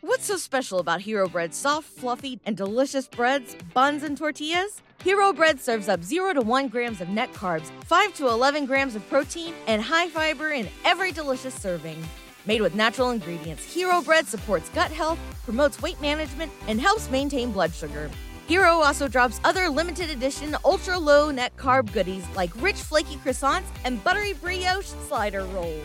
What's so special about Hero Bread's soft, fluffy, and delicious breads, buns, and tortillas? Hero Bread serves up 0 to 1 grams of net carbs, 5 to 11 grams of protein, and high fiber in every delicious serving. Made with natural ingredients, Hero Bread supports gut health, promotes weight management, and helps maintain blood sugar. Hero also drops other limited edition ultra low net carb goodies like rich flaky croissants and buttery brioche slider rolls.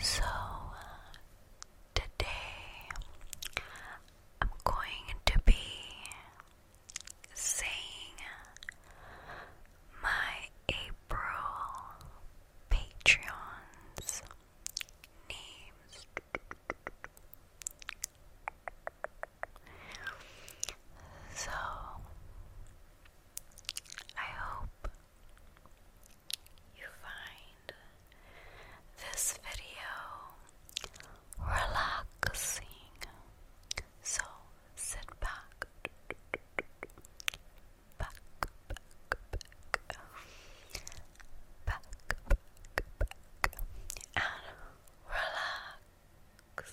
So, uh, today I'm going to be saying my April Patreons names. So, I hope you find this video relaxing. So, sit back, back, back, and relax.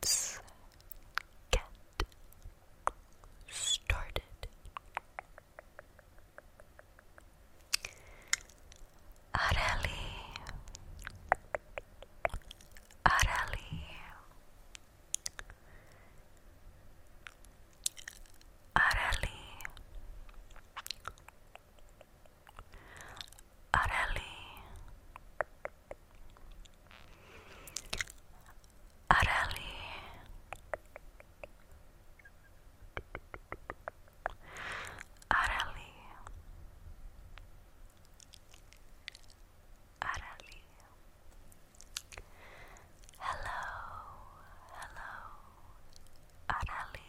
Let's get started. Areli, Areli, Areli, Areli Areli Areli Areli Hello hello Areli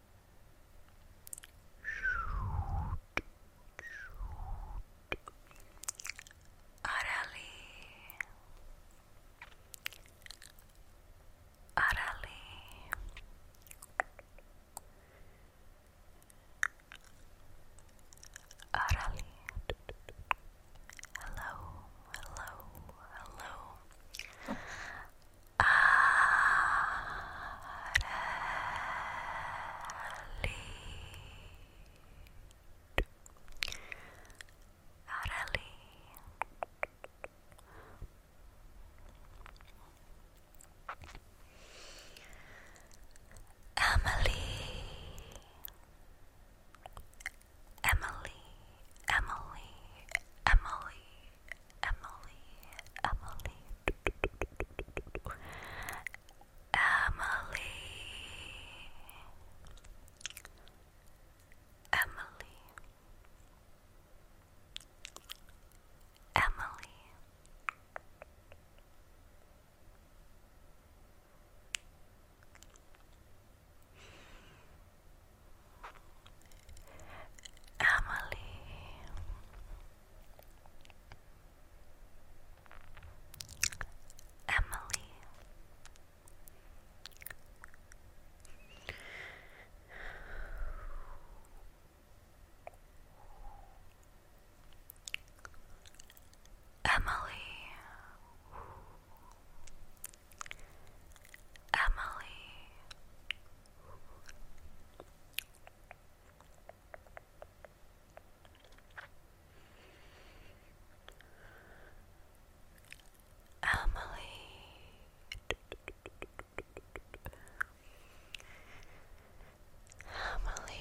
Arali Arali Arali Hello, hello, hello Emily Emily Emily Emily Emily, Emily, Emily, Emily, Emily. Emily. Emily. Emily. Emily. Emily. Emily.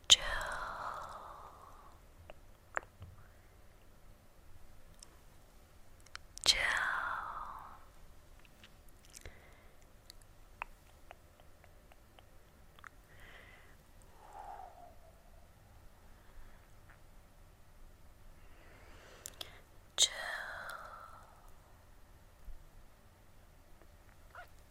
Jill. Jill. Jill.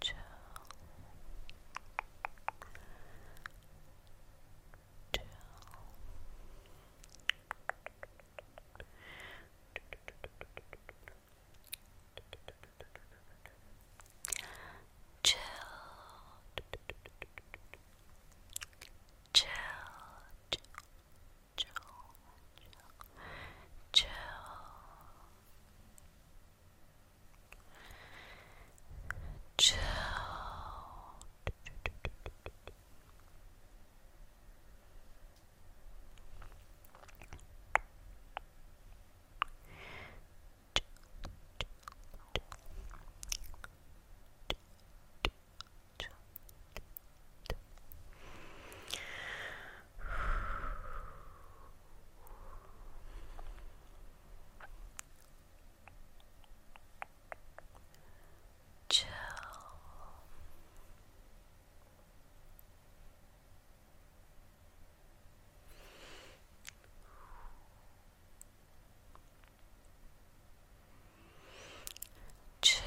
chill, chill. Chill, chill, chill, chill, chill, chill. chill. Chill, Chill. Chill.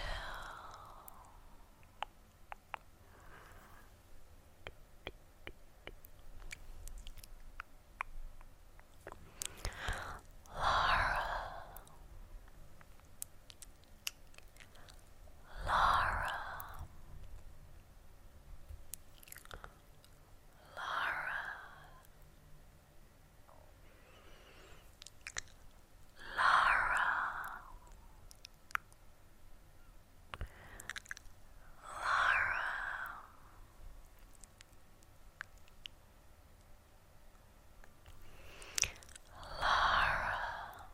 Laura Laura Laura Lara Laura. Laura. Laura.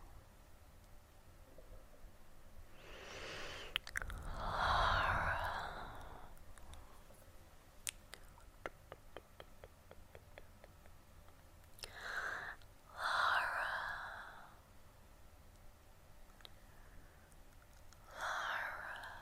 Lara. Lara. Lara.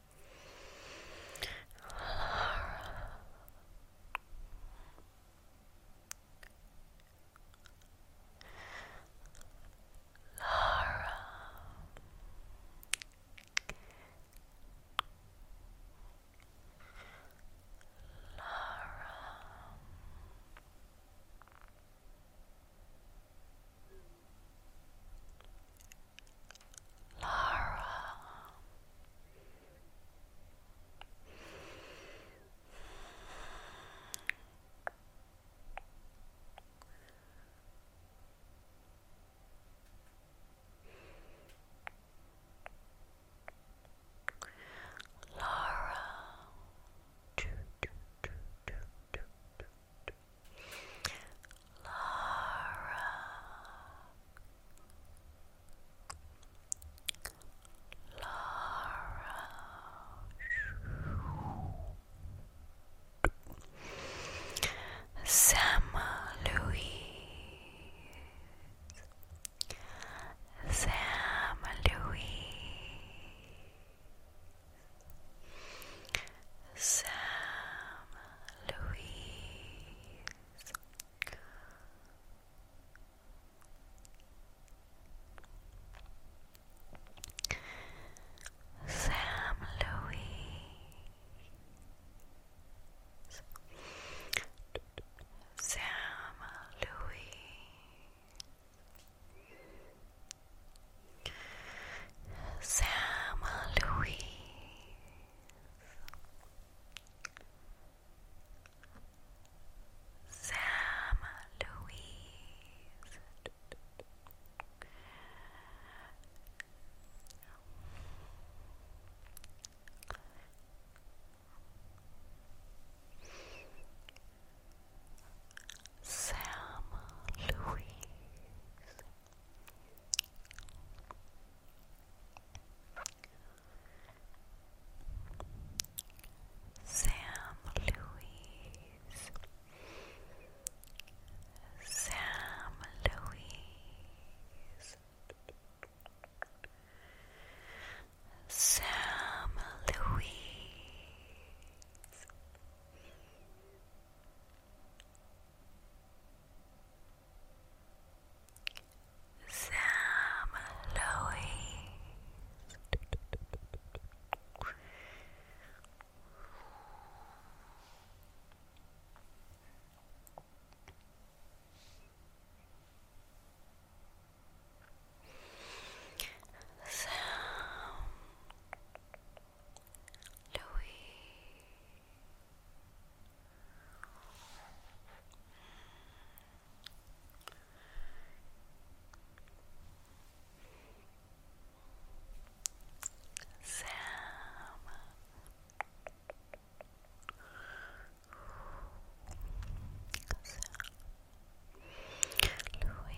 Laura. Laura. Laura. Lara. Laura, Laura. Laura. Sam Louise. Sam Louise. Sam Louise eyes. Sam Louis Sam Louis Sam Louis Sam Louise Sam Louise Sam Louise Sam Louise Sam Louise Sam Lowy. Sam Louis. Sam Louise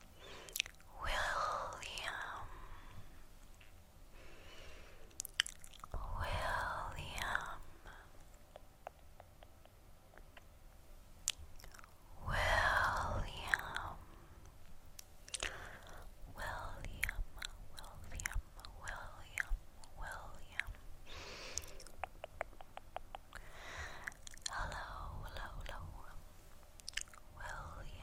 William William William William William William William Hello hello William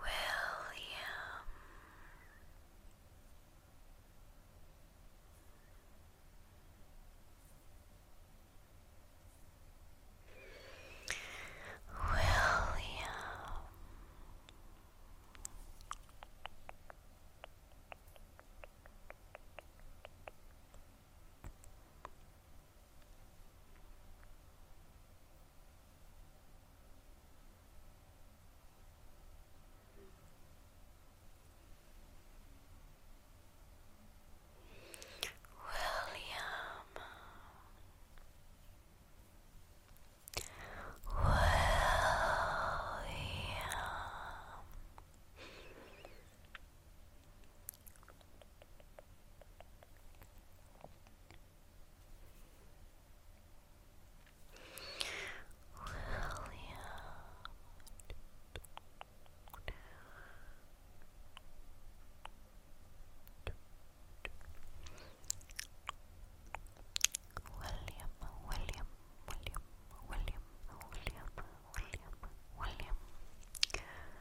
William. William William William William, William, William, William, William, William, William.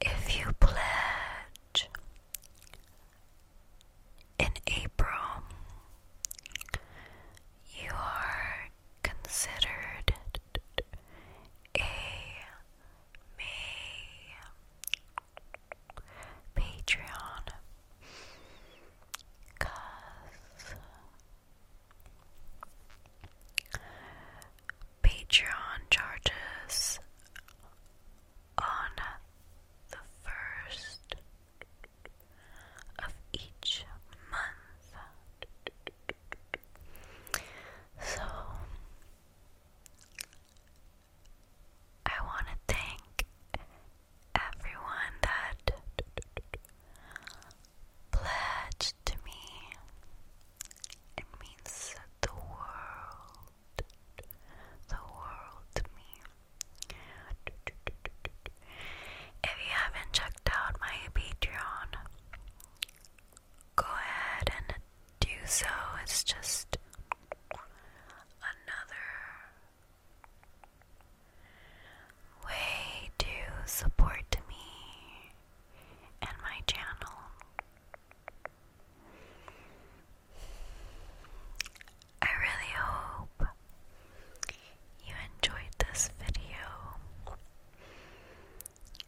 If you pledge in April, you are considered a May Patreon Cause Patreon charges on the first of each month. So I want to thank everyone that pledged to me. It means the world, the world to me. If you haven't checked out my Patreon, go ahead and do so. It's just another way to support me and my channel. I really hope you enjoyed this video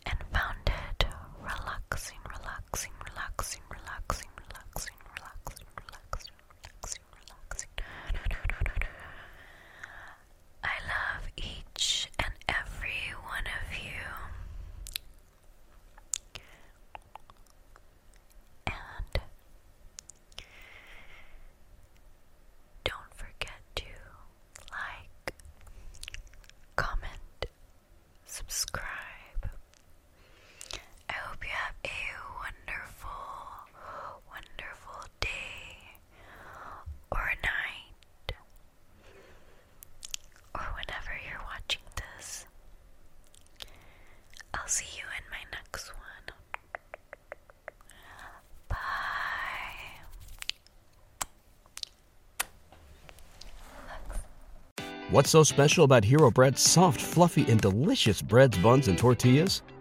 and found it relaxing, relaxing, relaxing, relaxing, relaxing, relaxing, relaxing, relaxing. I love each and every one of you. And don't forget to like, comment, subscribe, I hope you have a wonderful, wonderful day or night or whenever you're watching this. I'll see you in my next one. Bye. What's so special about Hero Bread's soft, fluffy, and delicious breads, buns, and tortillas?